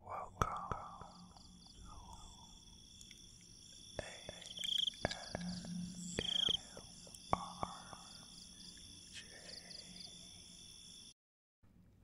Welcome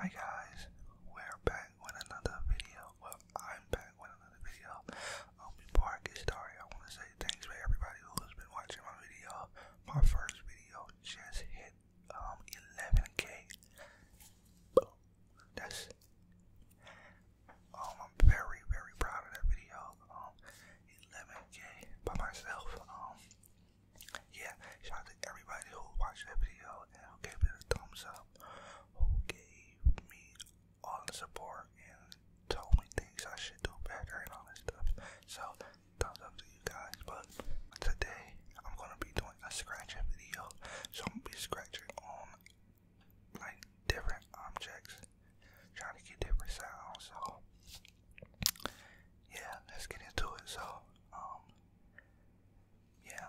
Hi guys, we're back with another video. Well, I'm back with another video. Um, before I get started, I want to say thanks for everybody who has been watching my video. My first video just hit um 11k. That's um I'm very very proud of that video. Um 11k by myself. Um yeah, shout out to everybody who watched that video and gave it a thumbs up, who gave me all the support and told me things I should do better and all that stuff. So thumbs up to you guys, but Today I'm gonna be doing a scratching video. So I'm gonna be scratching on like different objects, trying to get different sounds. So yeah, let's get into it. So um yeah.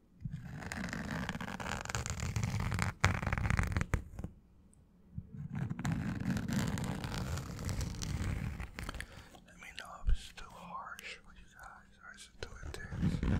Let me know if it's too harsh for you guys or is it too intense.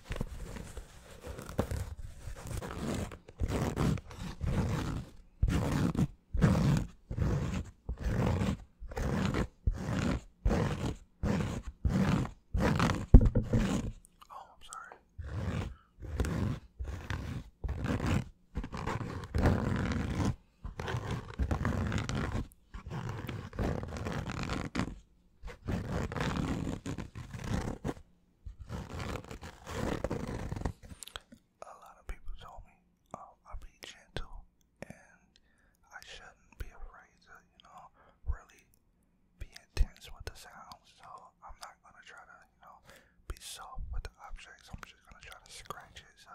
Oh, I'm sorry. A lot of people told me oh, i be gentle and I shouldn't be afraid to, you know, really be intense with the sound. So I'm not gonna try to, you know, be soft with the objects. I'm just gonna try to scratch it. So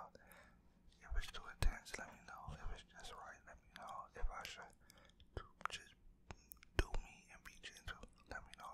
if it's too intense, let me know. If it's just right, let me know. If I should just just do me and be gentle. Let me know.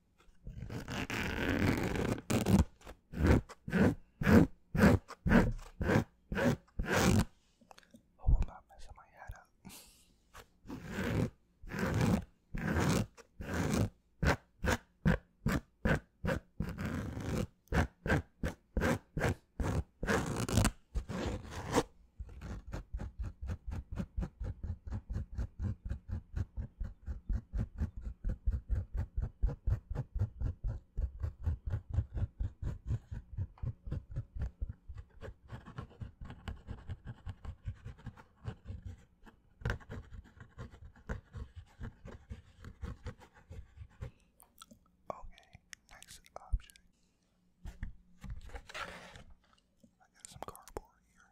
A woman messed my head up. Okay, next object. I got some cardboard here.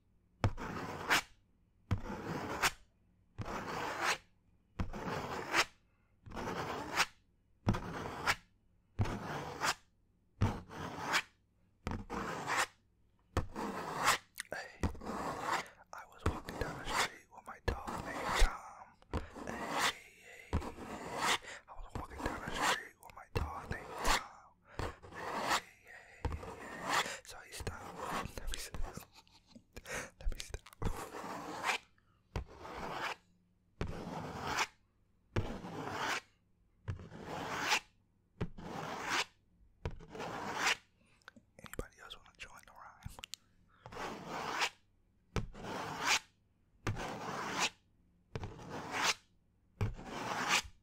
Hey, I was walking down the street with my dog named Tom. Hey, hey, hey. I was walking down the street with my dog named Tom. Hey, so I stop. Let me stop. Let me stop. Anybody else want to join the rhyme?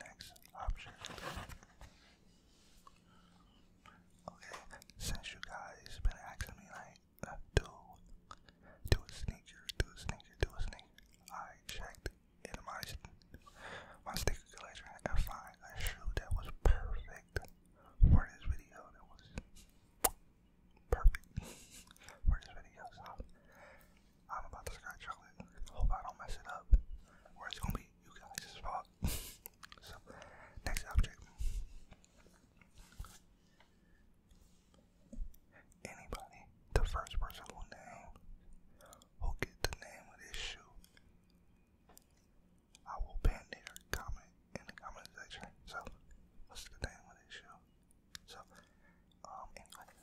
next option. Okay, since you guys been asking me like uh, do do a sneaker, do a sneaker, do a sneaker, I checked in my my sneaker collection and find a shoe that was perfect for this video. That was perfect for this video. I'm about to scratch chocolate. Hope I don't mess it up. Or it's gonna be you guys as well. so, next subject. Anybody, the first person who named, who get the name of this shoe, I will pin their comment in the comment section. So, what's the name of this shoe? So, um, anyway.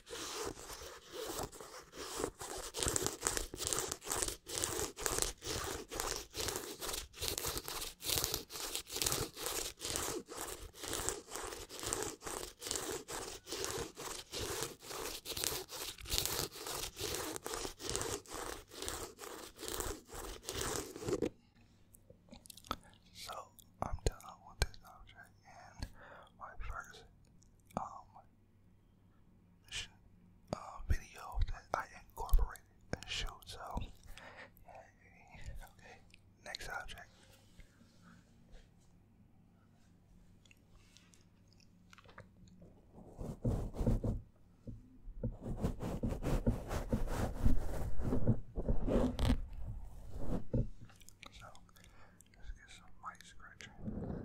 So I'm done with this object and my first um uh, video that I incorporated and So, okay, next object. So, just get some light scratching. Just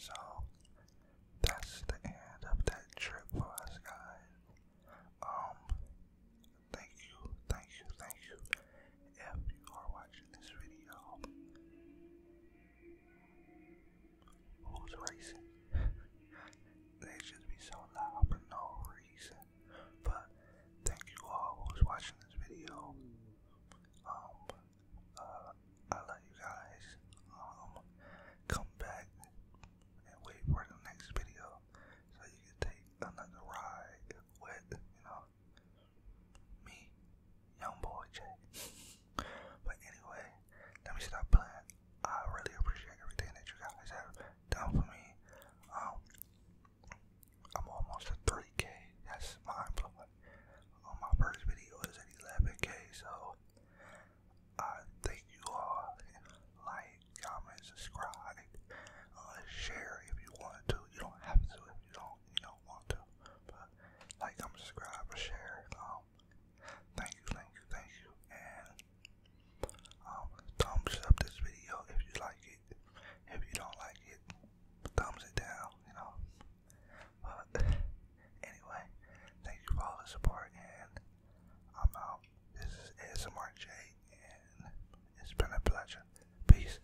So that's the end of that trip for us guys. Um thank you, thank you, thank you if you are watching this video. Who's racing? they just be so loud for no reason. But thank you all who's watching this video. Um, uh, I love you guys. Um, come back and wait for the next video so you can take another ride with, you know, me, young boy Jay. but anyway, let me stop playing. I really appreciate everything that you guys have done for me. Um, I'm almost at 3K. That's my blowing. On uh, my first video is at 11K, so I thank you all. Like, comment, subscribe, uh, share if you want to. You don't have to if you don't. You know want to. But like, comment, subscribe, or share. Um, thank you, thank you, thank you, and um, thumbs up this video if you like it. If you don't like it, thumbs it down. You know. But anyway, thank you for all the support, and I'm out. This is ASMR and it's been a pleasure. Peace.